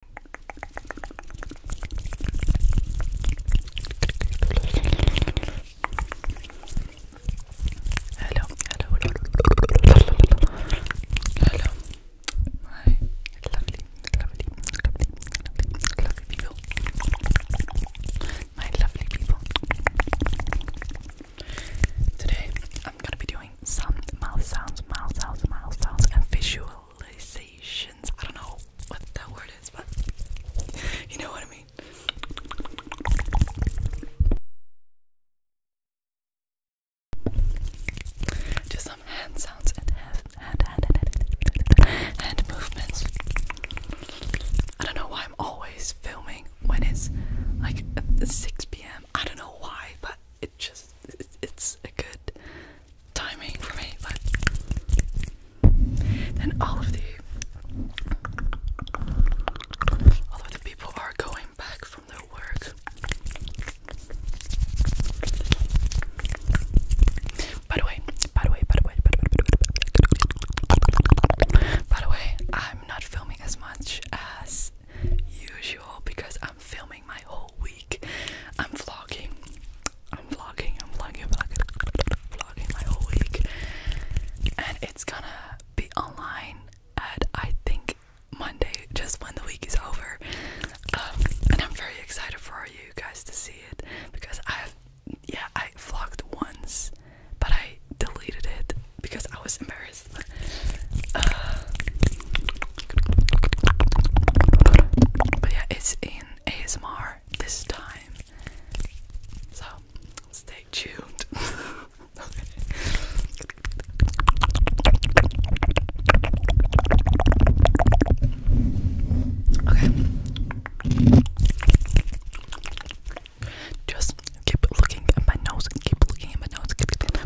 hello, hello, hello, my lovely, lovely, lovely, lovely, lovely people, my lovely people. Today I'm gonna be doing some mouth sounds, mouth sounds, mouth sounds, and visual visualizations. I don't know what that word is, but you know what I mean. Do some hand sounds and hand, hand, hand, hand, hand movements. I don't know why I'm always filming when it's like 6 p.m. I don't know why, but it just it's a good timing for me, but then all of the all of the people are going back from their work. By the way, by the way, by the way, by the way, by the way, I'm not filming as much as usual because I am I'm filming my whole week. I'm vlogging. I'm vlogging. I'm vlogging. Vlogging, my whole week, and it's gonna be online at I think Monday, just when the week is over. Um, and I'm very excited for you guys to see it because I, yeah, I vlogged once, but I deleted it because I was embarrassed. Uh, but yeah, it's in ASMR this time. So stay tuned. okay. Just keep looking at my nose keep looking at my nose. Keep looking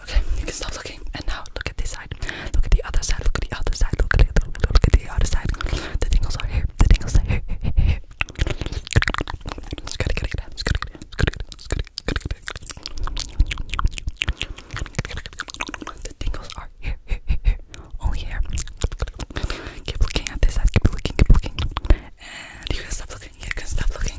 Okay, you can stop looking. And now look at this side. Look at the other side. Look at the other side. Look at the look, look at the other side. The tingles are here. The tingles are here. here, here, here. The tingles are here, here, here. Only here. Keep looking at this side. Keep looking. Keep looking. And you can stop looking. You can stop looking.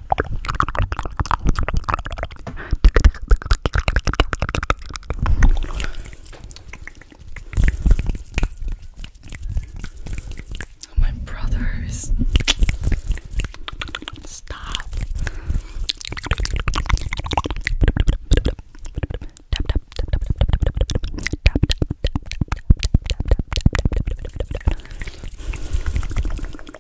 Oh, my brothers, stop.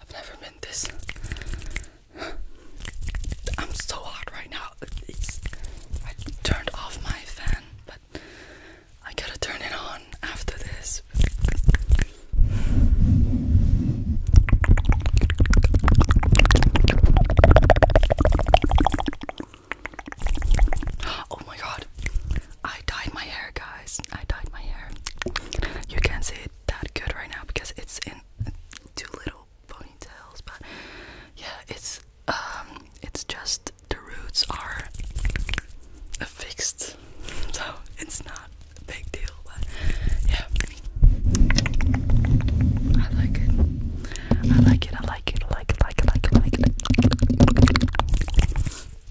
I've never been this. I'm so hot right now. I turned off my fan, but I gotta turn it on after this. Oh my god. I dyed my hair, guys. I dyed my hair. You can't see it that good right now because it's in two little ponytails, but yeah, it's um, it's just the roots are fixed, so it's not a big deal. But yeah, I like it. I like it. I like it. I like it. I like it. I like it. I like it.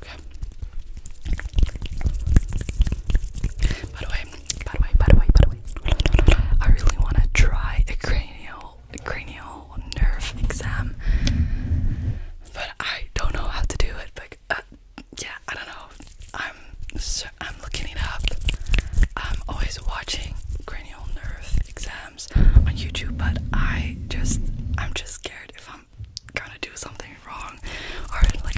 By the way, by the way, by the way, by the way, I really want to try a cranial, a cranial nerve exam, but I don't know how to do it. But uh, yeah, I don't know. I'm I'm looking it up. I'm always watching cranial nerve exams on YouTube, but I just I'm just scared um, gonna do something wrong or like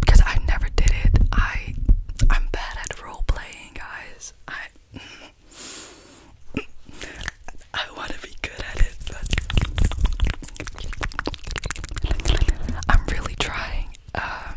because I never did it. I I'm bad at role playing, guys. I I want to be good at it, I'm really trying. Um,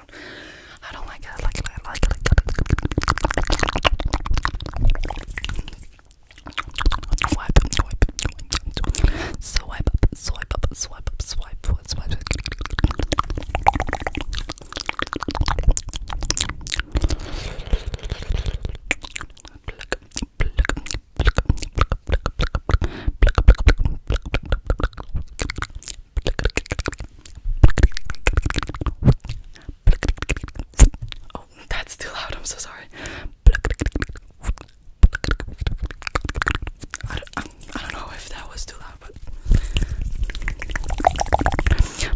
sound. I don't like it. I like it. I like it. Swipe, swipe, swipe, swipe up, swipe up, swipe up, swipe, swipe, swipe. Pluck, pluck, pluck, pluck, Oh, that's too loud. I'm so sorry. I don't, I, I don't know if that was too loud, but just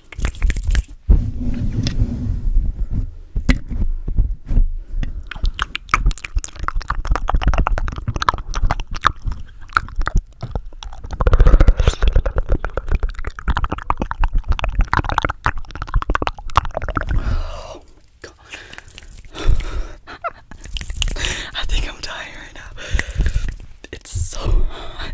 Oh, God. I think I'm dying right now. It's so hot.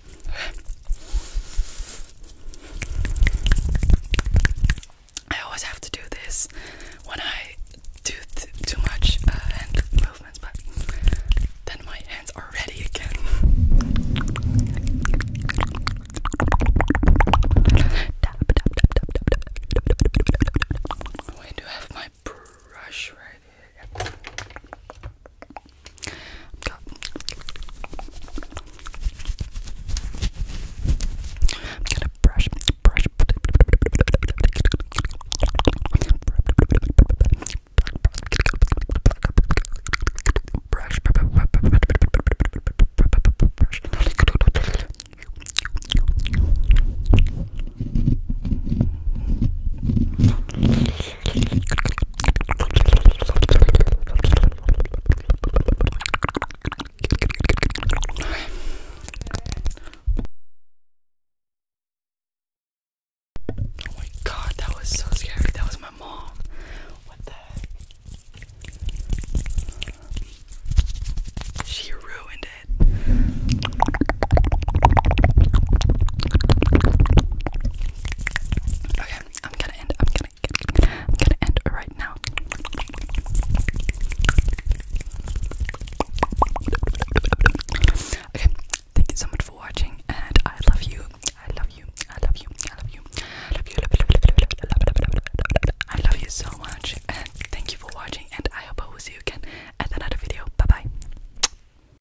I always have to do this when I do too much uh, hand movements, but then my hands are ready again. We do have my brush right I'm gonna brush, brush, brush, brush. Oh my god, that was so scary. That was my mom. What the heck? She ruined it. Okay, I'm gonna end. I'm gonna. I'm gonna end right now. Okay, thank you so much for watching, and I love you. I love you. I love you. I love you. I love you. I love you so much, and thank you for watching. And I hope I will see you again at another video. Bye bye.